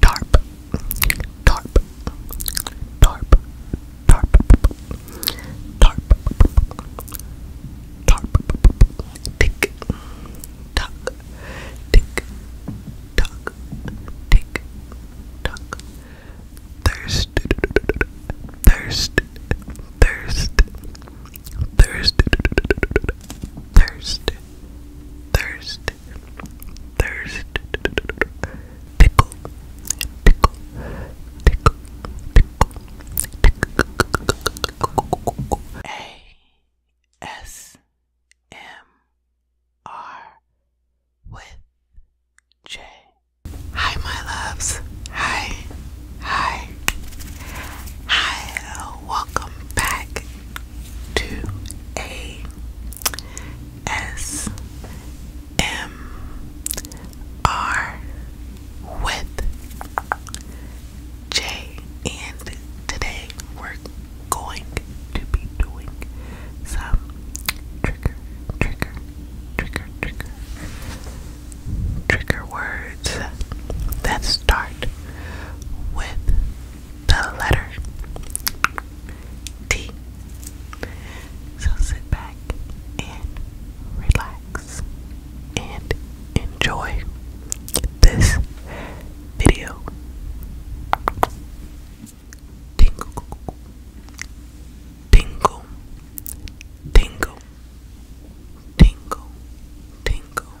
tarp, tarp, tarp, tarp, tarp, tarp, tick, tuck, tick, tuck, tick, tuck, thirst, thirst, thirst, thirst, thirst, thirst thirst, pickle, pickle, pickle, pickle, A S M R with J. Hi, my loves. Hi, hi, hi. Welcome back to a S M R with J. And today we're going to be doing some trigger, trigger, trigger, trigger, trigger words that start with the letter T. So sit back and relax and enjoy this video. Tingle, tingle, tingle, tingle, tingle,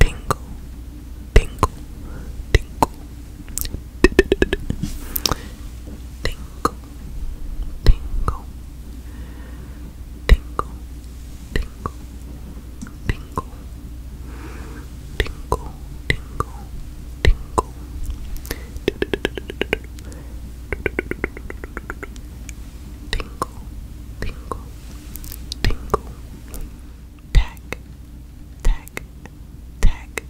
tingle, tingle, tingle, tingle, tingle, tingle, tingle, tingle, tingle, tingle, tingle tingle, tingle, tingle, tack, tack, tack, tack,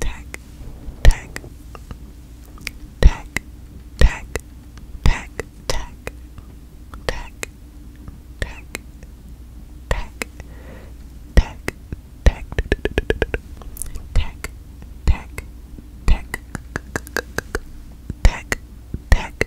tack, tack, tack, tack, tack, tack, tack, tack, tack, tack, tack, tack, tack, tack, tack,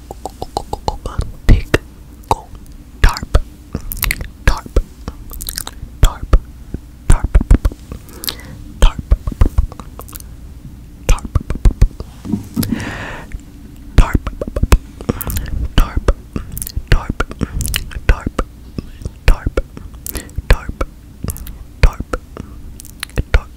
Tick go tarp tarp tarp tarp tarp tarp tarp tarp tarp tarp tarp tarp tarp tarp tarp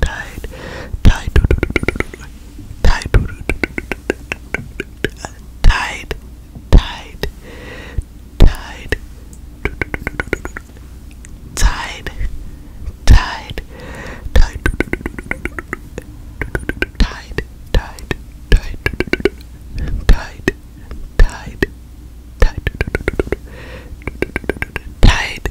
tied, tied, tied, tied, tied, tied, tied, tied, tied, tied, tied, tied, tied, tied, tied, tied,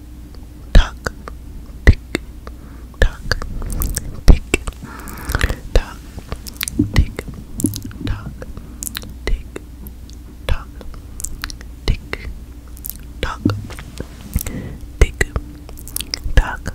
tuck, tick, tuck, tick, tuck, tick, tuck, tick, tuck, tick, tuck, tick, tuck, tick, tuck, tick, tuck, tick,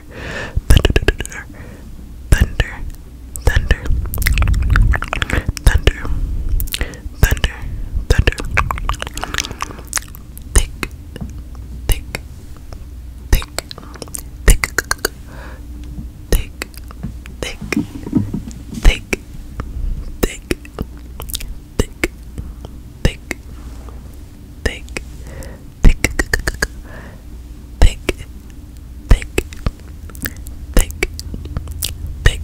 thunder, thunder, thunder, thunder, thunder, thunder, thick, thick, thick, thick, thick, thick, thick, thick, thick, thick, thick, thick, thick, thick, thick, thick, thick, thick, thick, thick, thick, thick,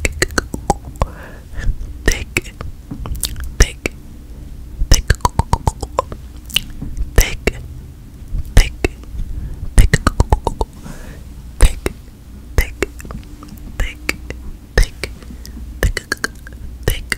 thick, thick, thick, thick, thick, thick,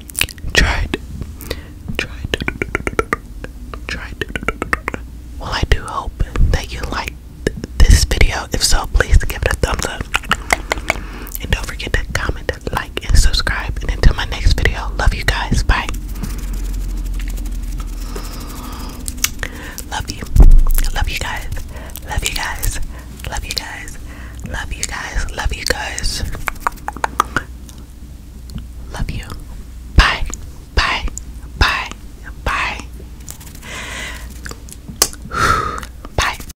tried, tried, tried. Well, I do hope that you liked this video. If so, please give it a thumbs up. And don't forget to comment, like, and subscribe. And until my next video, love you guys. Bye. Love you. Love you guys. Love you guys. Love you guys. Love you guys. Love you guys. Love you. Bye. Bye. Bye. Bye. Bye.